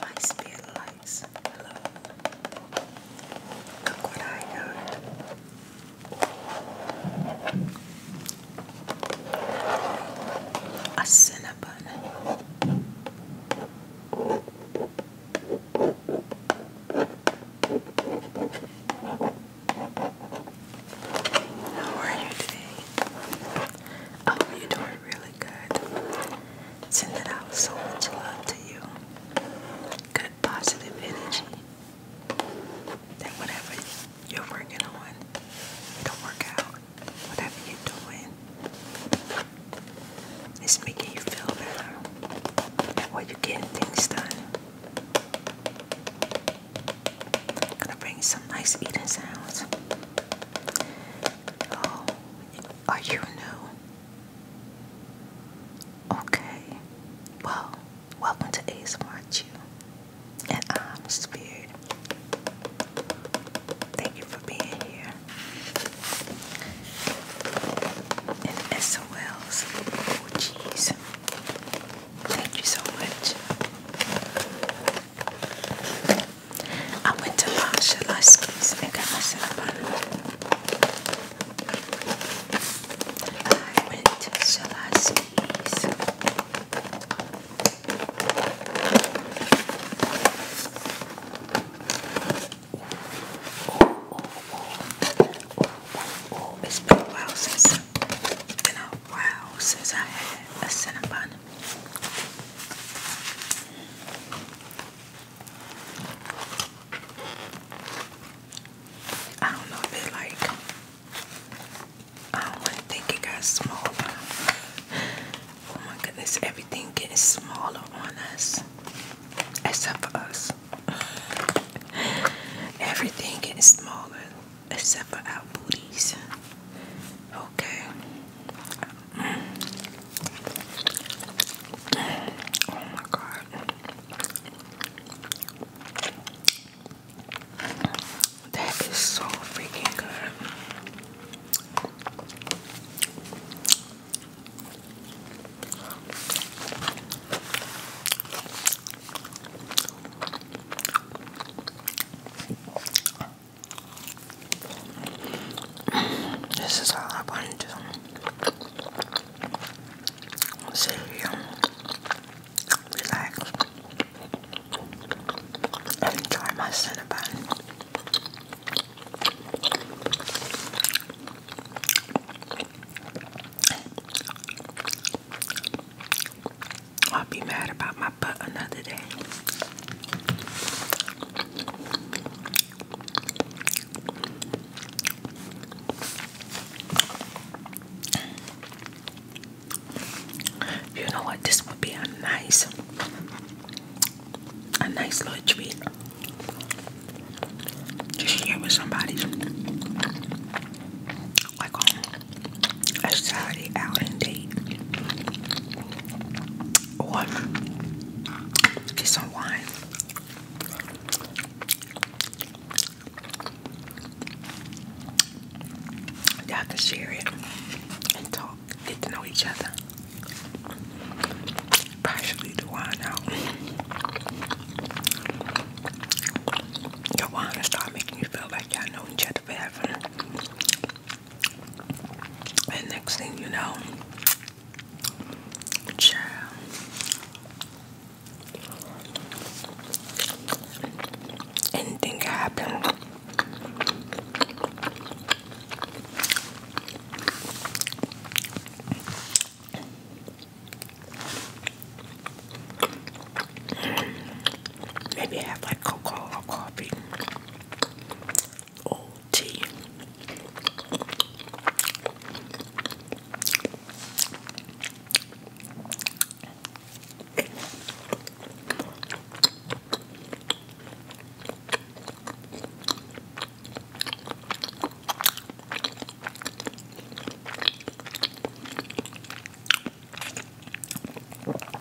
my spirit likes Look what I got. A Cinnabon. How are you today? I oh, hope you're doing really good. Sending out so much love to you good positive energy that whatever you're working on, it'll work out. Whatever you're doing, it's making you feel better. While you're getting things done. I'm gonna bring some nice eating sounds. Oh, are you new? Okay, well, welcome to ASMR and I'm Spirit. Thank you for being here. And SOLs, oh jeez, thank you so much. I went to Masha Lasky's and got myself a I went to Shalaski's. Oh, oh, oh. Oh, It's been a while since, been a while since I had a Cinnabon. I don't know if it like I don't wanna think it got smaller. Oh my goodness, everything getting smaller on us. Except for us. everything getting smaller except for our booties. Okay. Oh my god. That is so freaking good. This is all I want to sit here, relax, and enjoy my Cinnabon. I'll be mad about my butt another day. You know what? This would be a nice, a nice little treat. Just share with somebody, like on um, a Saturday out and date. Or get some wine. Y'all to share it and talk, get to know each other. Partially the wine out. The wine will start making you feel like you know each other forever. And next thing you know, child. Anything can Maybe have like cocoa or coffee. Oh, tea.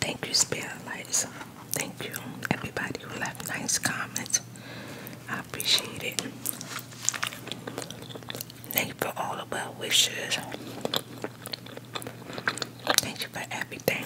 Thank you, Spirit Lights. Thank you, everybody who left nice comments. I appreciate it. Thank you for all the well wishes. Thank you for everything.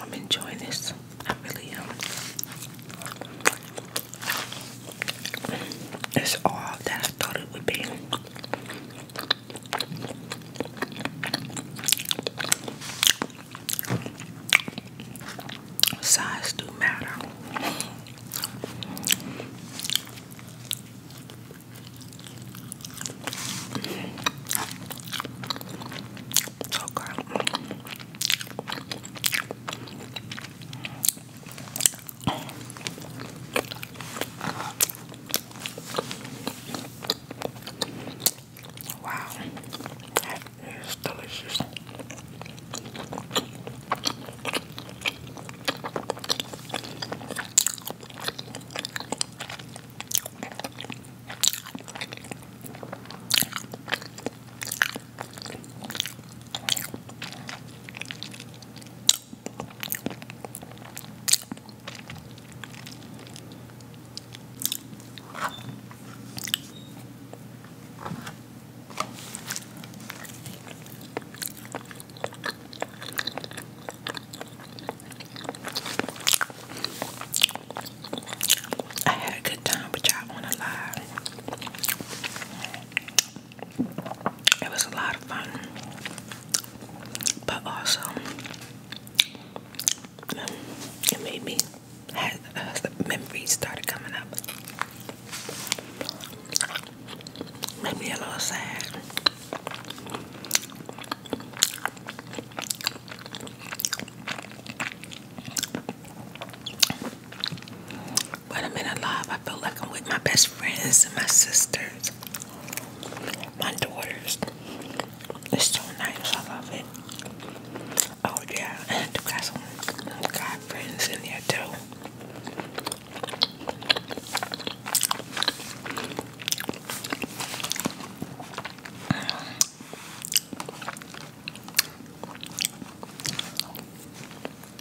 I'm enjoying this. I really am. It's all that I thought it would be. Size do matter. Okay. Wow, that is delicious. I had a good time with y'all on a live. It was a lot of fun, but also um, it made me had uh, memories started coming up. Made me a little sad. When I'm in a I feel like I'm with my best friends and my sisters, my daughters. It's so nice. I love it. Oh yeah, and I do got friends in there too.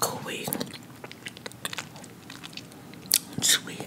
Quick, sweet,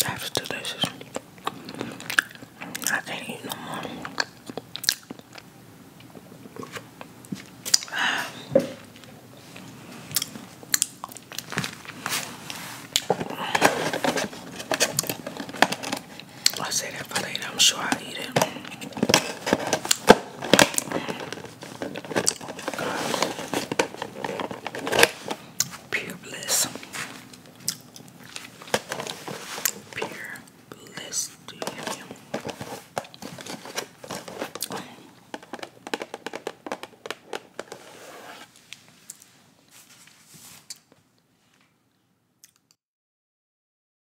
That's delicious. I can't eat no more. I'll say that for later. I'm sure I'll eat it. Pure bliss. Pure bliss to you.